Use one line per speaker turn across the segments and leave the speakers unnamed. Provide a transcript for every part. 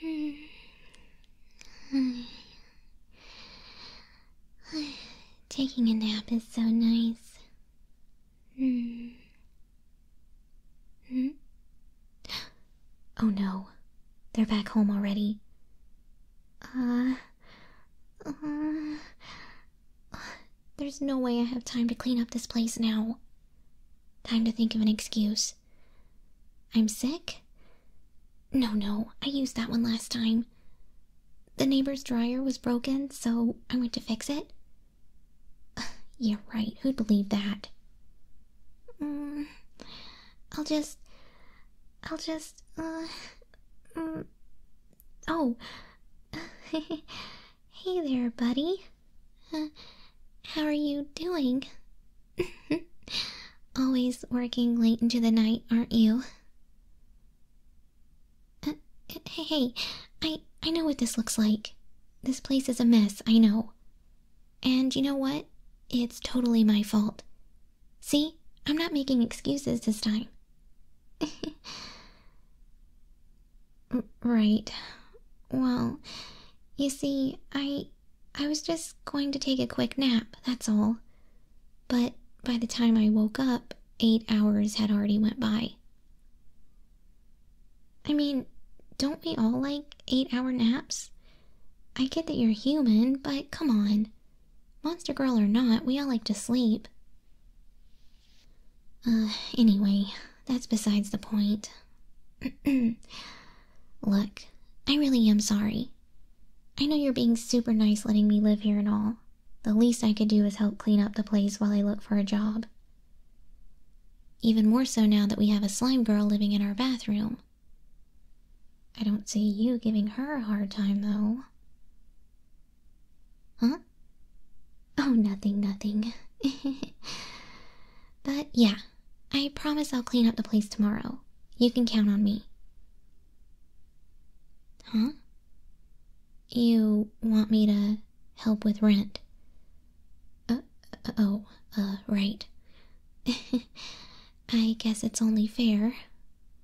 Taking a nap is so nice. Oh no, they're back home already. Uh, uh there's no way I have time to clean up this place now. Time to think of an excuse. I'm sick? No, no, I used that one last time. The neighbor's dryer was broken, so I went to fix it. yeah, right, who'd believe that? Mm, I'll just. I'll just. Uh, mm, oh. Hey there, buddy. Uh, how are you doing? Always working late into the night, aren't you? Uh, hey, I, I know what this looks like. This place is a mess, I know. And you know what? It's totally my fault. See? I'm not making excuses this time. Right. Well, you see, I I was just going to take a quick nap, that's all. But by the time I woke up, eight hours had already went by. I mean, don't we all like eight-hour naps? I get that you're human, but come on. Monster girl or not, we all like to sleep. Uh, anyway, that's besides the point. Look, I really am sorry. I know you're being super nice letting me live here and all. The least I could do is help clean up the place while I look for a job. Even more so now that we have a slime girl living in our bathroom. I don't see you giving her a hard time, though. Huh? Oh, nothing, nothing. but yeah, I promise I'll clean up the place tomorrow. You can count on me. Huh? You want me to help with rent? Uh, oh, uh, right. I guess it's only fair.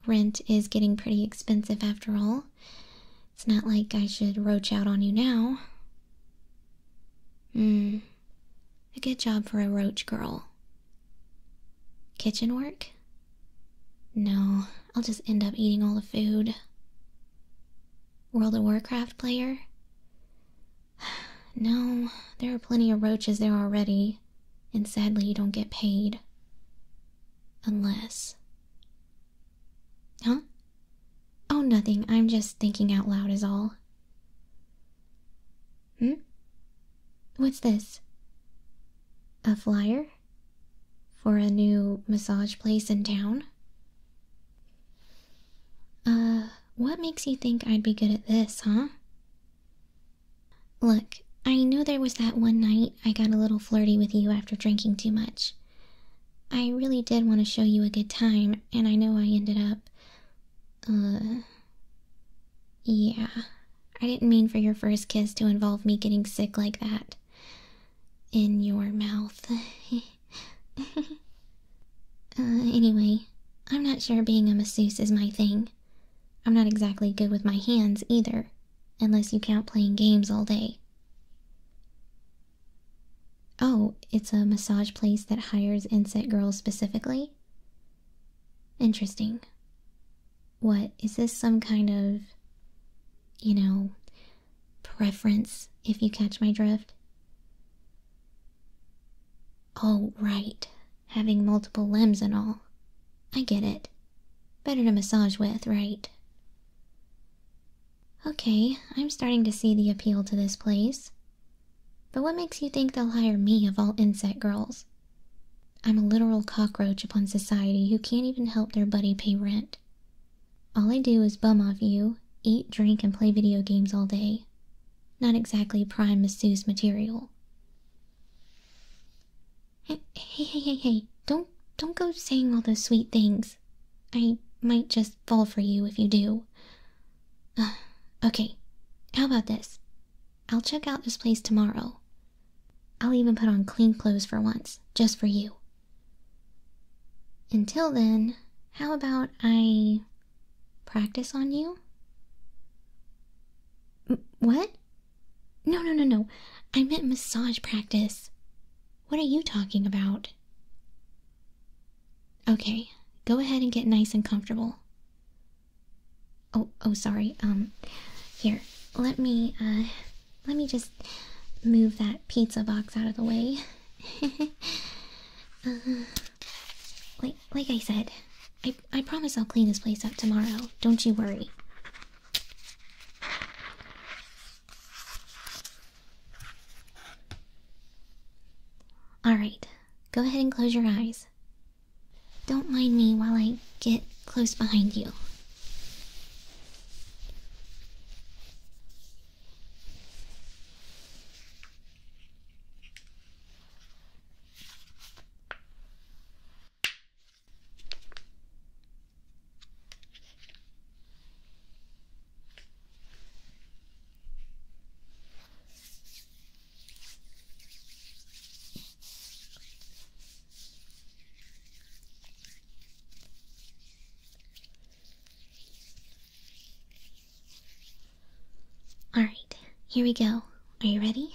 Rent is getting pretty expensive after all. It's not like I should roach out on you now. Hmm. A good job for a roach girl. Kitchen work? No, I'll just end up eating all the food. World of Warcraft player? No, there are plenty of roaches there already, and sadly you don't get paid. Unless. Huh? Oh, nothing. I'm just thinking out loud, is all. Hmm? What's this? A flyer? For a new massage place in town? Uh, what makes you think I'd be good at this, huh? Look, I know there was that one night I got a little flirty with you after drinking too much. I really did want to show you a good time, and I know I ended up. Uh. Yeah. I didn't mean for your first kiss to involve me getting sick like that. In your mouth. Uh, anyway, I'm not sure being a masseuse is my thing. I'm not exactly good with my hands either, unless you count playing games all day. Oh, it's a massage place that hires inset girls specifically? Interesting. What, is this some kind of, you know, preference, if you catch my drift? Oh, right. Having multiple limbs and all. I get it. Better to massage with, right? Okay, I'm starting to see the appeal to this place. But what makes you think they'll hire me of all insect girls? I'm a literal cockroach upon society who can't even help their buddy pay rent. All I do is bum off you, eat, drink, and play video games all day. Not exactly prime masseuse material. Hey, hey, hey, hey, hey, don't, don't go saying all those sweet things. I might just fall for you if you do. okay, how about this? I'll check out this place tomorrow. I'll even put on clean clothes for once, just for you. Until then, how about I practice on you? what? No, no, no, no. I meant massage practice. What are you talking about? Okay, go ahead and get nice and comfortable. Oh, oh, sorry. Um, here, let me, uh, let me just move that pizza box out of the way. Uh, like, like I said, I, I promise I'll clean this place up tomorrow. Don't you worry. Alright, go ahead and close your eyes. Don't mind me while I get close behind you. All right, here we go. Are you ready?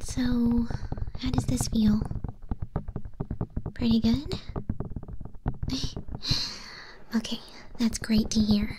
So, how does this feel? Pretty good? okay, that's great to hear.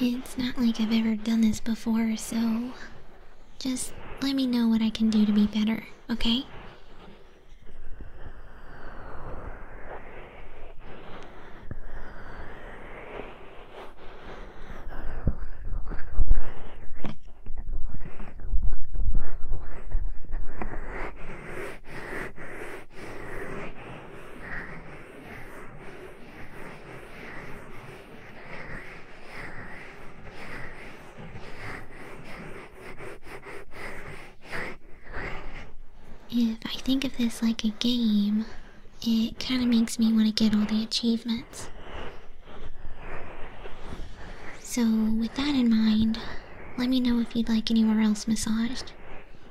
It's not like I've ever done this before, so just let me know what I can do to be better, okay? If I think of this like a game, it kind of makes me want to get all the achievements. So, with that in mind, let me know if you'd like anywhere else massaged.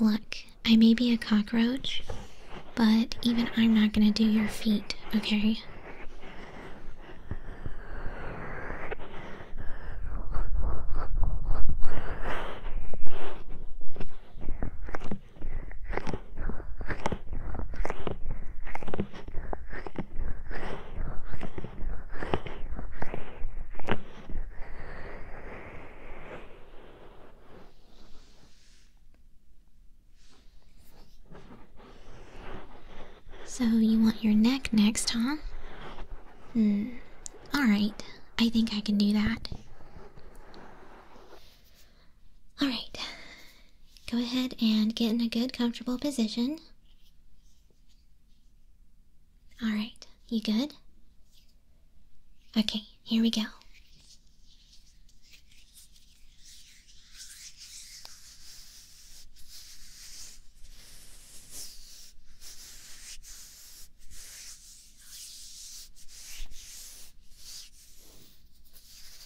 Look, I may be a cockroach, but even I'm not gonna do your feet, okay? So, you want your neck next, huh? Hmm. Alright, I think I can do that. All right. Go ahead and get in a good, comfortable position. All right. You good? Okay, here we go.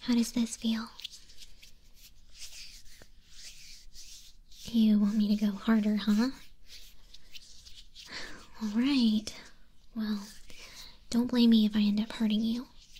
How does this feel? You want me to go harder, huh? Alright. Well, don't blame me if I end up hurting you.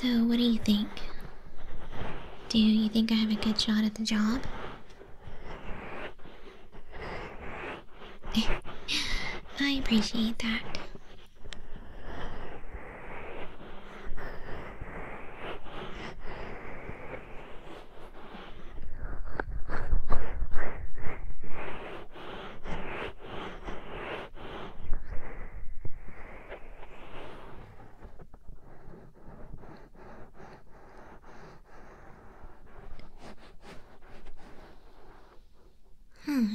So, what do you think? Do you think I have a good shot at the job? I appreciate that. Hmm,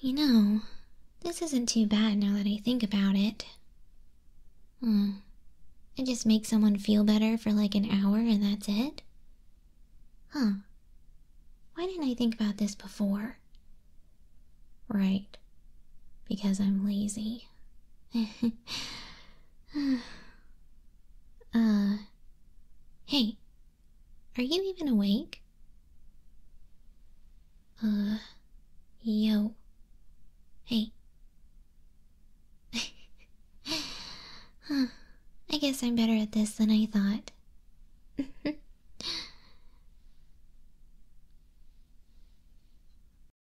you know, this isn't too bad now that I think about it. Hmm, it just makes someone feel better for like an hour and that's it? Huh. Why didn't I think about this before? Right, because I'm lazy. Uh, hey, are you even awake? Uh, yo, hey. I guess I'm better at this than I thought.